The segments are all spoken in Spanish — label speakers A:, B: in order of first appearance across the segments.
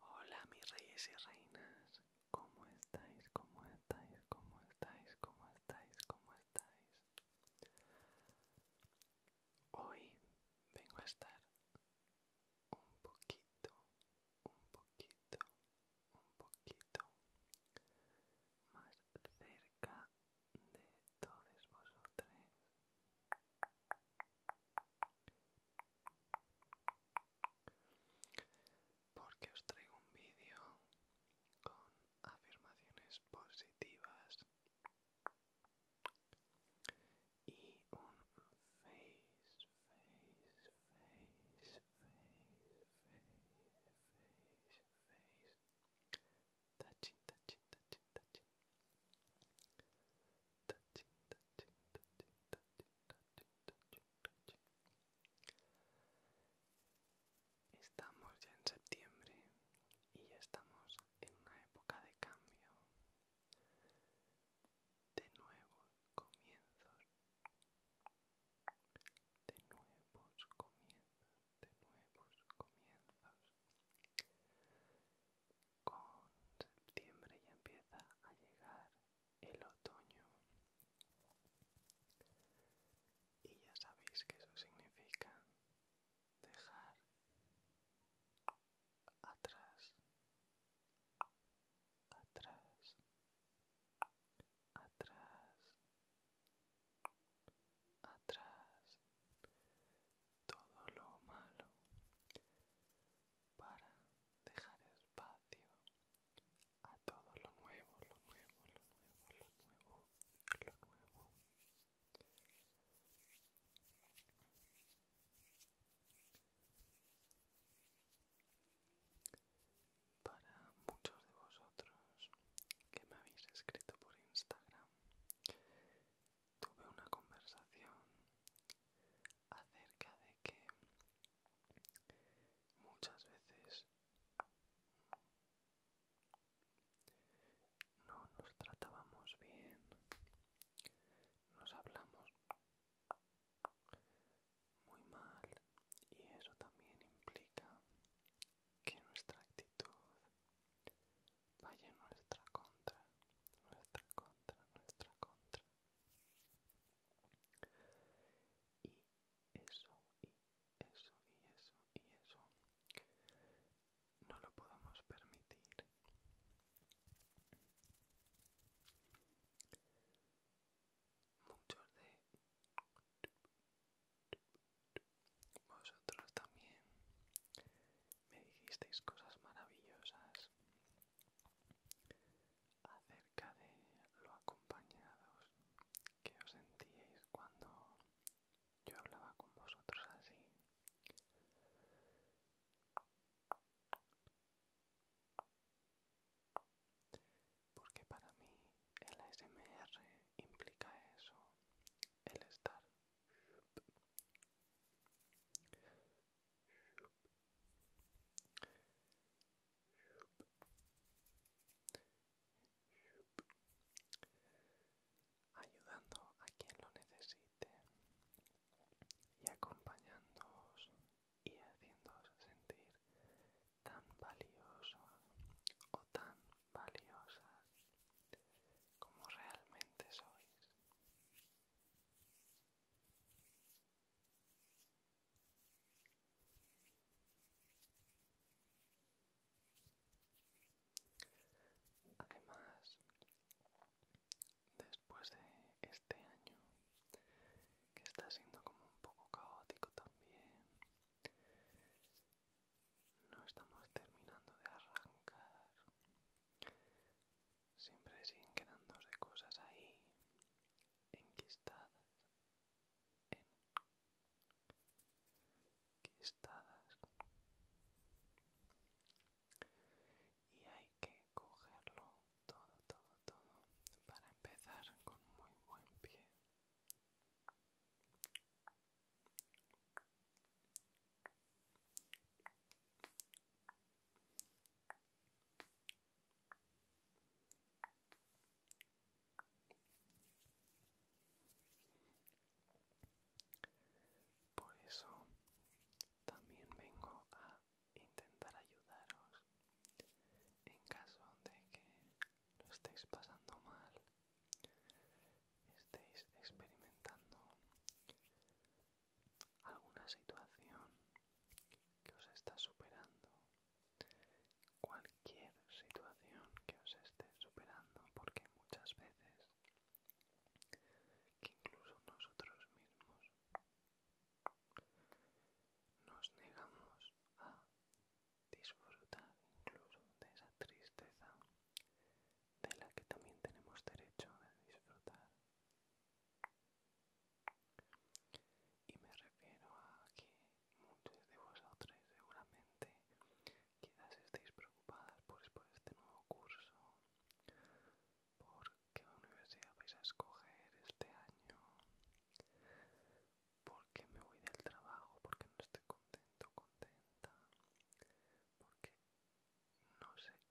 A: Hola mis reyes y reinas, ¿cómo estáis? ¿Cómo estáis? ¿Cómo estáis? ¿Cómo estáis? ¿Cómo estáis? Hoy vengo a estar un poquito, un poquito, un poquito más cerca de todos vosotros. Porque os traigo un vídeo con afirmaciones positivas y un face, face, face, face, face, face, Estamos ya en septiembre y ya estamos en una época de cambio, de nuevos comienzos, de nuevos comienzos de nuevos comienzos. Con septiembre ya empieza a llegar el otoño. Y ya sabéis que eso significa dejar atrás, atrás, atrás, atrás todo lo malo para dejar espacio a todo lo nuevo, lo nuevo, lo nuevo, lo nuevo, lo nuevo. Para muchos de vosotros que me habéis escrito por Instagram tuve una conversación acerca de que muchas veces no nos tratábamos bien, nos hablamos muy mal y eso también implica que nuestra actitud Vaya nuestra contra, nuestra contra, nuestra contra. Y eso, y eso, y eso, y eso. No lo podemos permitir. Muchos de vosotros también me dijisteis cosas maravillosas acerca de lo acompañados que os sentíais cuando yo hablaba con vosotros así. Porque para mí el ASMR implica eso, el estar ayudando a quien lo necesite y acompañándoos y haciéndoos sentir tan valiosos o tan valiosas como realmente sois. Además, después de este año, que está siendo como un poco caótico también, no estamos terminando de arrancar siempre siguen quedándose cosas ahí enquistadas enquistadas y hay que cogerlo todo todo todo para empezar con muy buen pie por eso también vengo a intentar ayudaros en caso de que lo estéis pasando mal estéis experimentando alguna situación que os está superando, cualquier situación que os esté superando, porque muchas veces que incluso nosotros mismos nos negamos a disfrutar incluso de esa tristeza de la que también tenemos derecho de disfrutar. Y me refiero a que muchos de vosotros seguramente quizás estéis preocupadas por este, este nuevo curso, por qué universidad vais a escoger este año, porque me voy del trabajo, porque no estoy contento, contenta, porque no sé, Y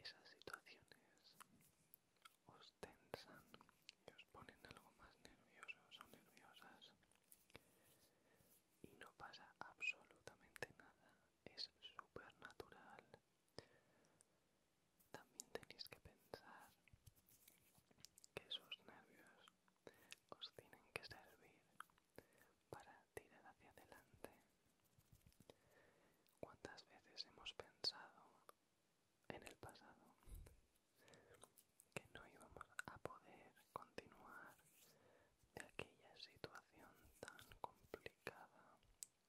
A: esas situaciones os tensan y os ponen algo más nerviosos o nerviosas y no pasa absolutamente nada, es súper natural. También tenéis que pensar que esos nervios os tienen que servir para tirar hacia adelante. ¿Cuántas veces hemos pensado en el pasado que no íbamos a poder continuar de aquella situación tan complicada,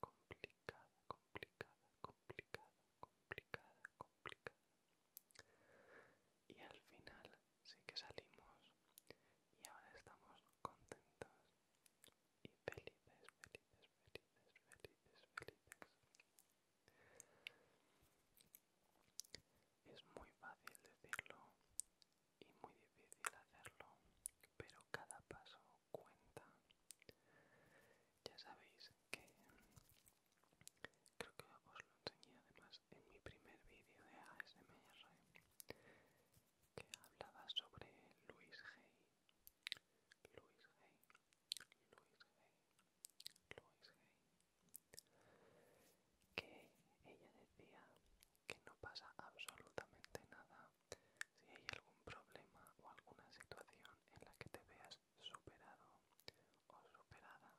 A: complicada, complicada, complicada, complicada, complicada. Y al final sí que salimos y ahora estamos contentos y felices, felices, felices, felices, felices. Es muy fácil decirlo y muy difícil hacerlo, pero cada paso cuenta. Ya sabéis que creo que os lo enseñé además en mi primer vídeo de ASMR que hablaba sobre Luis Gay. Luis G Luis G Luis que ella decía que no pasa absolutamente nada si hay algún problema o alguna situación en la que te veas superado o superada.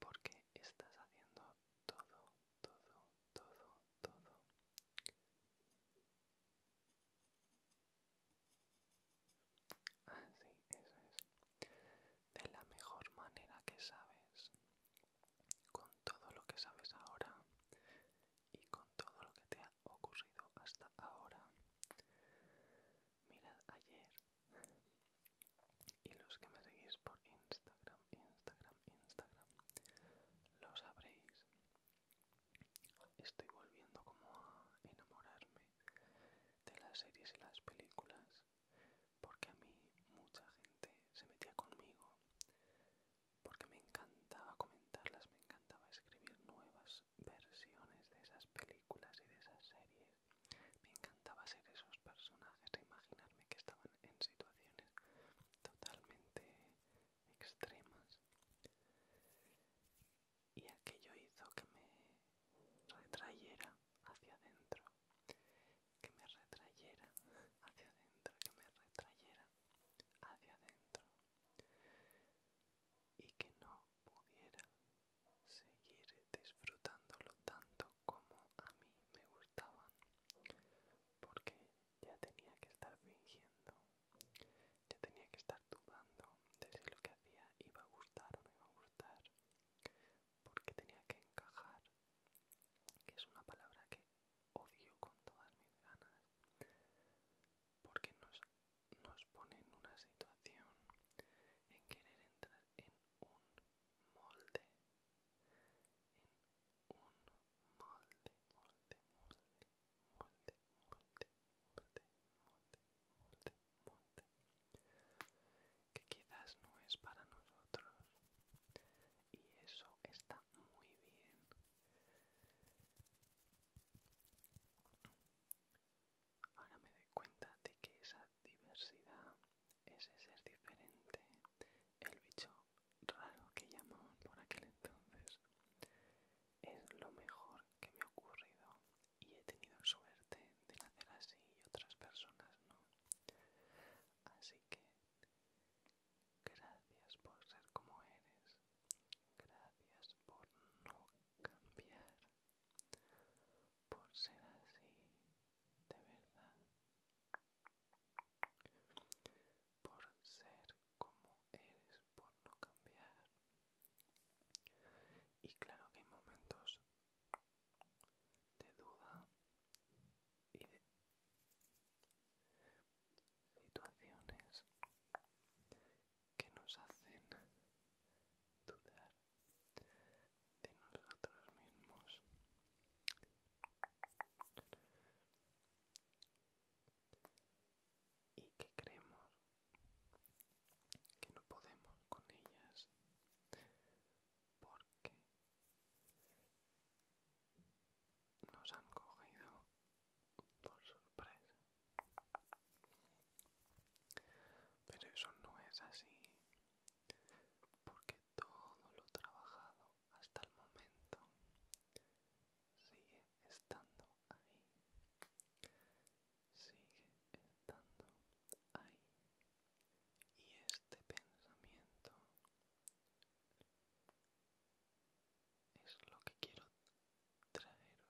A: Porque estás haciendo todo todo, todo, todo. Ah, sí, eso es. De la mejor manera que sabes, con todo lo que sabes ahora y con todo lo que te ha ocurrido hasta ahora. Mirad ayer y los que me seguís por Instagram Instagram, Instagram, lo sabréis. Estoy volviendo como a enamorarme de las series y las películas porque a mí mucha gente se metía conmigo porque me encantaba comentarlas, me encantaba escribir nuevas versiones de esas películas y de esas series. Me encantaba ser esos personajes e imaginarme que estaban en situaciones totalmente extremas y aquello hizo que me retrayera hacia adentro que me retrayera hacia adentro que me retrayera hacia adentro y que no pudiera seguir disfrutándolo tanto como a mí me gustaba porque ya tenía que estar fingiendo, ya tenía que estar dudando de si lo que hacía iba a gustar o no iba a gustar, porque tenía que encajar, que es una palabra que odio con todas mis ganas, porque nos, nos pone en una situación en querer entrar en un molde, en un molde, molde, molde, molde, molde, molde, molde, molde, que quizás no es para nosotros. Y eso está muy bien. Ahora me doy cuenta de que esa diversidad, ese ser diferente, el bicho raro que llamo por aquel entonces. Es lo mejor que me ha ocurrido y he tenido suerte de nacer así y otras personas no. Así que gracias por ser como eres. Gracias por no cambiar. Por ser así, de verdad por ser como eres, por no cambiar. Y claro que hay momentos de duda y de situaciones que nos hacen dudar de nosotros mismos y que creemos que no podemos con ellas porque nos han cogido por sorpresa pero eso no es así porque todo lo trabajado hasta el momento sigue estando ahí sigue estando ahí y este pensamiento es lo que quiero traeros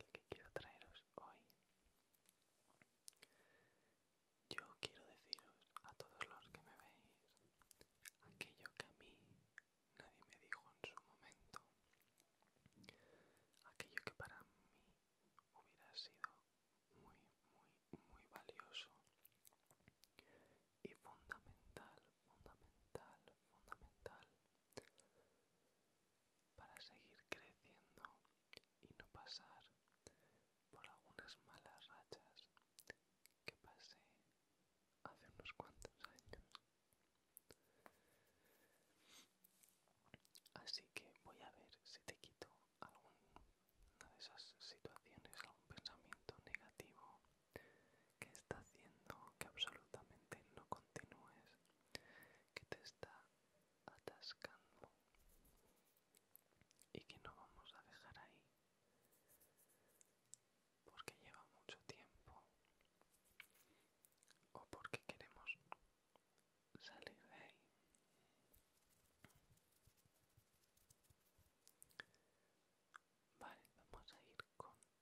A: el que quiero traeros hoy. Yo quiero deciros a todos los que me veis aquello que a mí nadie me dijo en su momento, aquello que para mí hubiera sido muy, muy, muy valioso y fundamental fundamental, fundamental para seguir creciendo y no pasar por algunas malas rachas que pasé hace unos cuantos años. Así que voy a ver si te quito alguna de esas situaciones, algún pensamiento negativo que está haciendo que absolutamente no continúes, que te está atascando y que no vamos a dejar ahí porque lleva mucho tiempo o porque queremos salir de ahí. Vale, vamos a ir con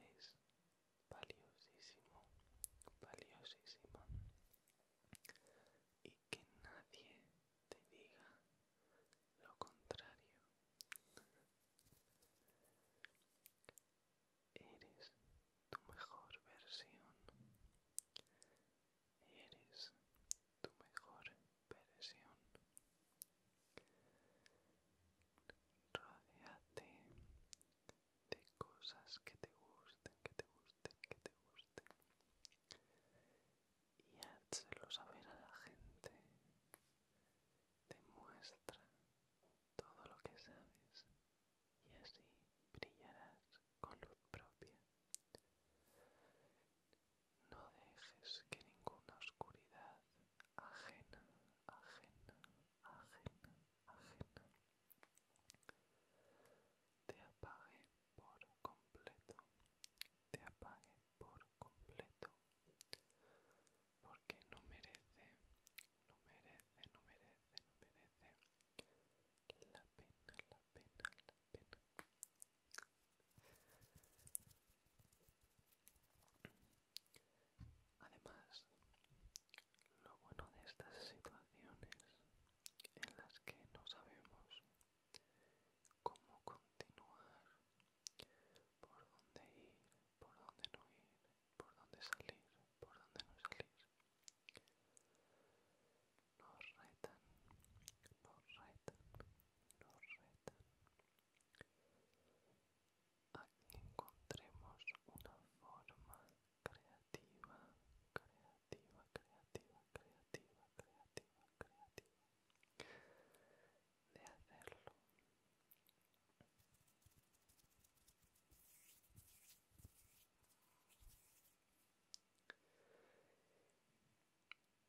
A: Eres valiosísimo, valiosísimo Y que nadie te diga lo contrario. Eres tu mejor versión. Eres tu mejor versión. Rodéate de cosas que te gusten, que te gusten, que te gusten. Y hazlo saber a la gente. muestra todo lo que sabes y así brillarás con luz propia. No dejes que ninguna oscuridad ajena, ajena, ajena, ajena te apague por completo, te apague por completo, porque no merece, no merece, no merece, no merece la pena, la pena, la pena. Además, lo bueno de estas situaciones en las que no sabemos cómo continuar por dónde ir, por dónde no ir, por dónde salir, por dónde no salir. Nos retan, nos retan, nos retan. Aquí encontremos una forma creativa, creativa, creativa, creativa, creativa, creativa de hacerlo.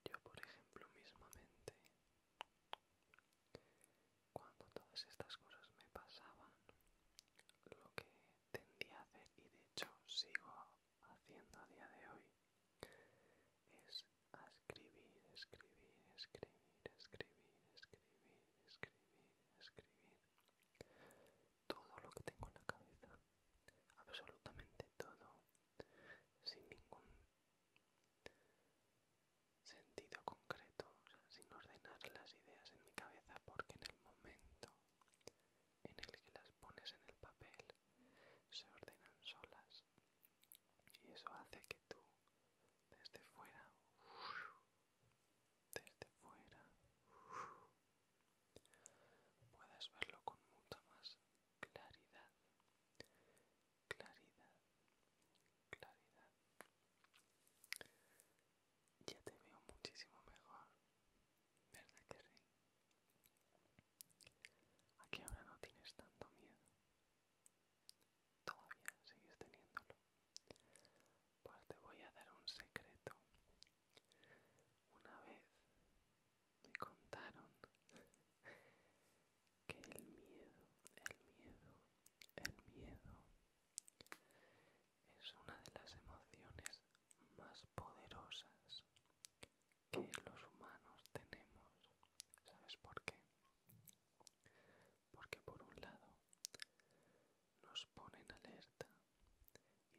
A: Yo, por ejemplo, mismamente, cuando todas estas cosas me pasaban, lo que tendía a hacer, y de hecho sigo haciendo a día de hoy, es escribir, escribir, escribir escribir, escribir, escribir, escribir. Todo lo que tengo en la cabeza, absolutamente todo, sin ningún sentido concreto, sin ordenar las ideas en mi cabeza, porque en el momento en el que las pones en el papel, se ordenan solas. Y eso hace que tú desde fuera, desde fuera, Puedes verlo con mucha más claridad, claridad, claridad. Ya te veo muchísimo mejor, ¿verdad que Aquí ahora no tienes tanto miedo. Todavía sigues teniéndolo. Pues te voy a dar un secreto. Una vez me contaron que el miedo, el miedo, el miedo es una de las emociones más poderosas que los humanos tenemos. ¿Sabes por qué? porque por un lado nos pone en alerta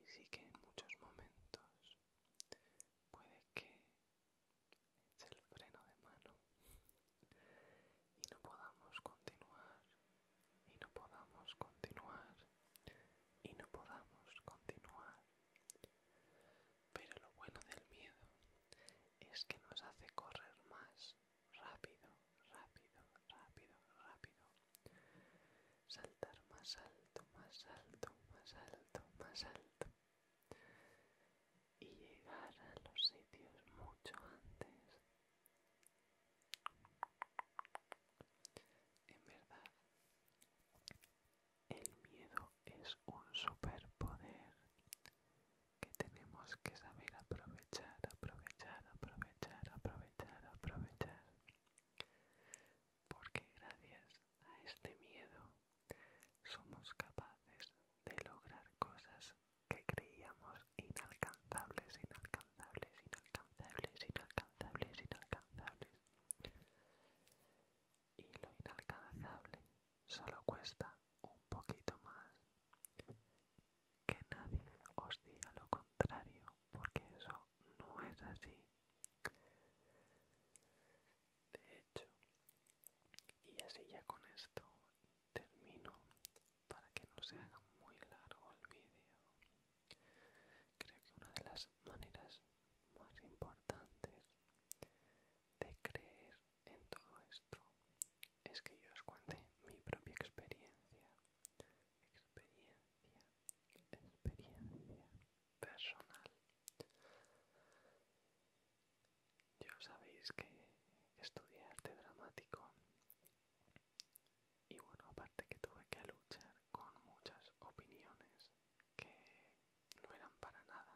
A: y sí que en muchos momentos puede que eche el freno de mano y no podamos continuar y no podamos continuar y no podamos continuar pero lo bueno del miedo es que nos hace correr más rápido, rápido, rápido, rápido. Saltar más alto, más alto, más alto, más alto. Y llegar a los sitios mucho antes. En verdad, el miedo es un superpoder que tenemos que saber aprovechar, aprovechar, aprovechar, aprovechar, aprovechar. Porque gracias a este miedo somos capaces de lograr cosas que creíamos inalcanzables, inalcanzables, inalcanzables, inalcanzables, inalcanzables. Y lo inalcanzable solo cuesta un poquito más. Que nadie os diga lo contrario, porque eso no es así. De hecho, y así ya con esto termino para que no se haga muy largo el vídeo. Creo que una de las maneras más importantes de creer en todo esto es que yo os cuente mi propia experiencia, experiencia, experiencia personal. Yo sabéis que estudié arte dramático y bueno, aparte que tuve que luchar con muchas opiniones que no eran para nada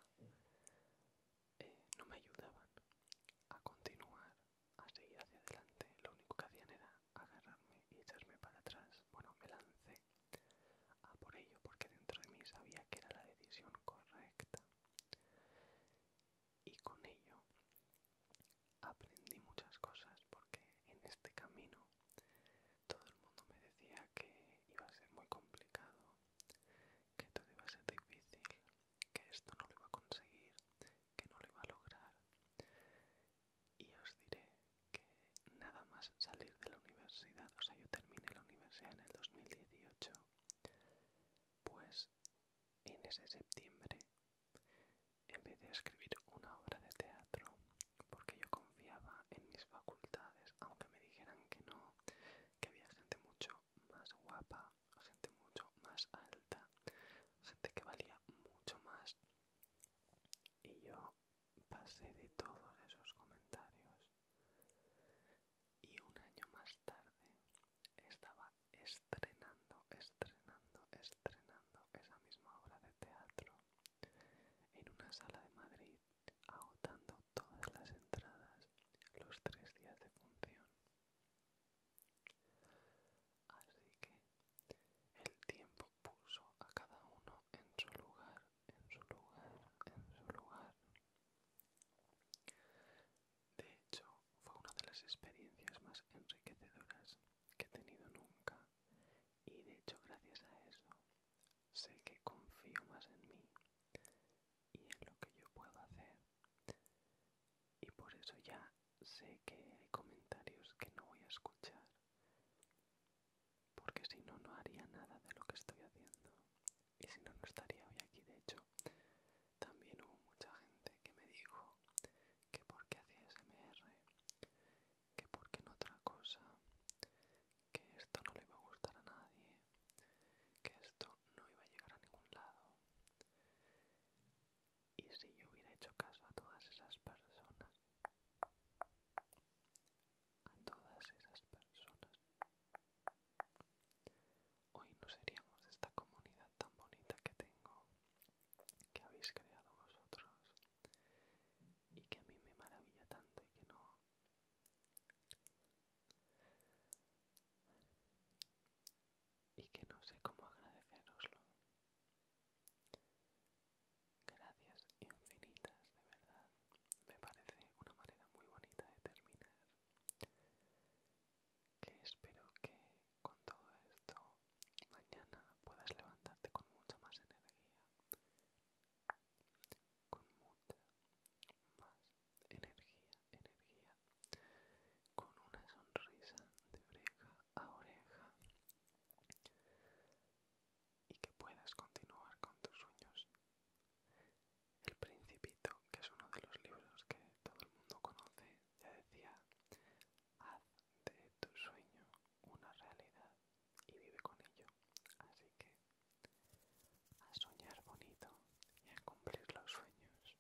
A: eh, no me ayudaban a continuar, a seguir hacia adelante. Lo único que hacían era agarrarme y echarme para atrás. Bueno, me lancé a por ello porque dentro de mí sabía que era la decisión correcta. Y con ello aprendí muchas cosas porque en este camino todo el mundo me decía que iba a ser muy complicado, que todo iba a ser difícil, que esto no lo iba a conseguir, que no lo iba a lograr. Y os diré que nada más salir de la universidad, o sea, yo terminé la universidad en el 2018, pues en ese septiembre empecé a escribir una obra de teatro porque yo confiaba en mis facultades, aunque me dijeran que no, que había gente mucho más guapa gente mucho más alta, gente que valía mucho más. Y yo pasé de todos esos comentarios. Y un año más tarde estaba estrenando, estrenando, estrenando esa misma obra de teatro en una sala de Madrid, agotando todas las entradas los tres días de función. Así que el tiempo puso a cada uno en su lugar, en su lugar, en su lugar. De hecho, fue una de las experiencias más enriquecedoras que he tenido nunca y de hecho gracias a eso sé que confío más en mí y es lo que yo puedo hacer y por eso ya sé que hay comentarios que no voy a escuchar porque si no no haría nada de lo que estoy haciendo y si no no estaría hoy aquí de hecho también hubo mucha gente que me dijo que porque hacía SMR que porque no otra cosa que esto no le iba a gustar a nadie que esto no iba a llegar a ningún lado y si yo hubiera hecho caso a todas esas personas, a todas esas personas, hoy no seríamos esta comunidad tan bonita que tengo, que habéis creado vosotros y que a mí me maravilla tanto y que no y que no sé cómo agradeceroslo. Gracias infinitas, de verdad. Me parece una manera muy bonita de terminar. Que espero que con todo esto mañana puedas levantarte con mucha más energía. Con mucha más energía, energía, con una sonrisa de oreja a oreja y que puedas continuar con tus sueños. El Principito, que es uno de los libros que todo el mundo conoce, ya decía, haz este, de tu sueño una realidad y vive con ello. Así que a soñar bonito y a cumplir los sueños.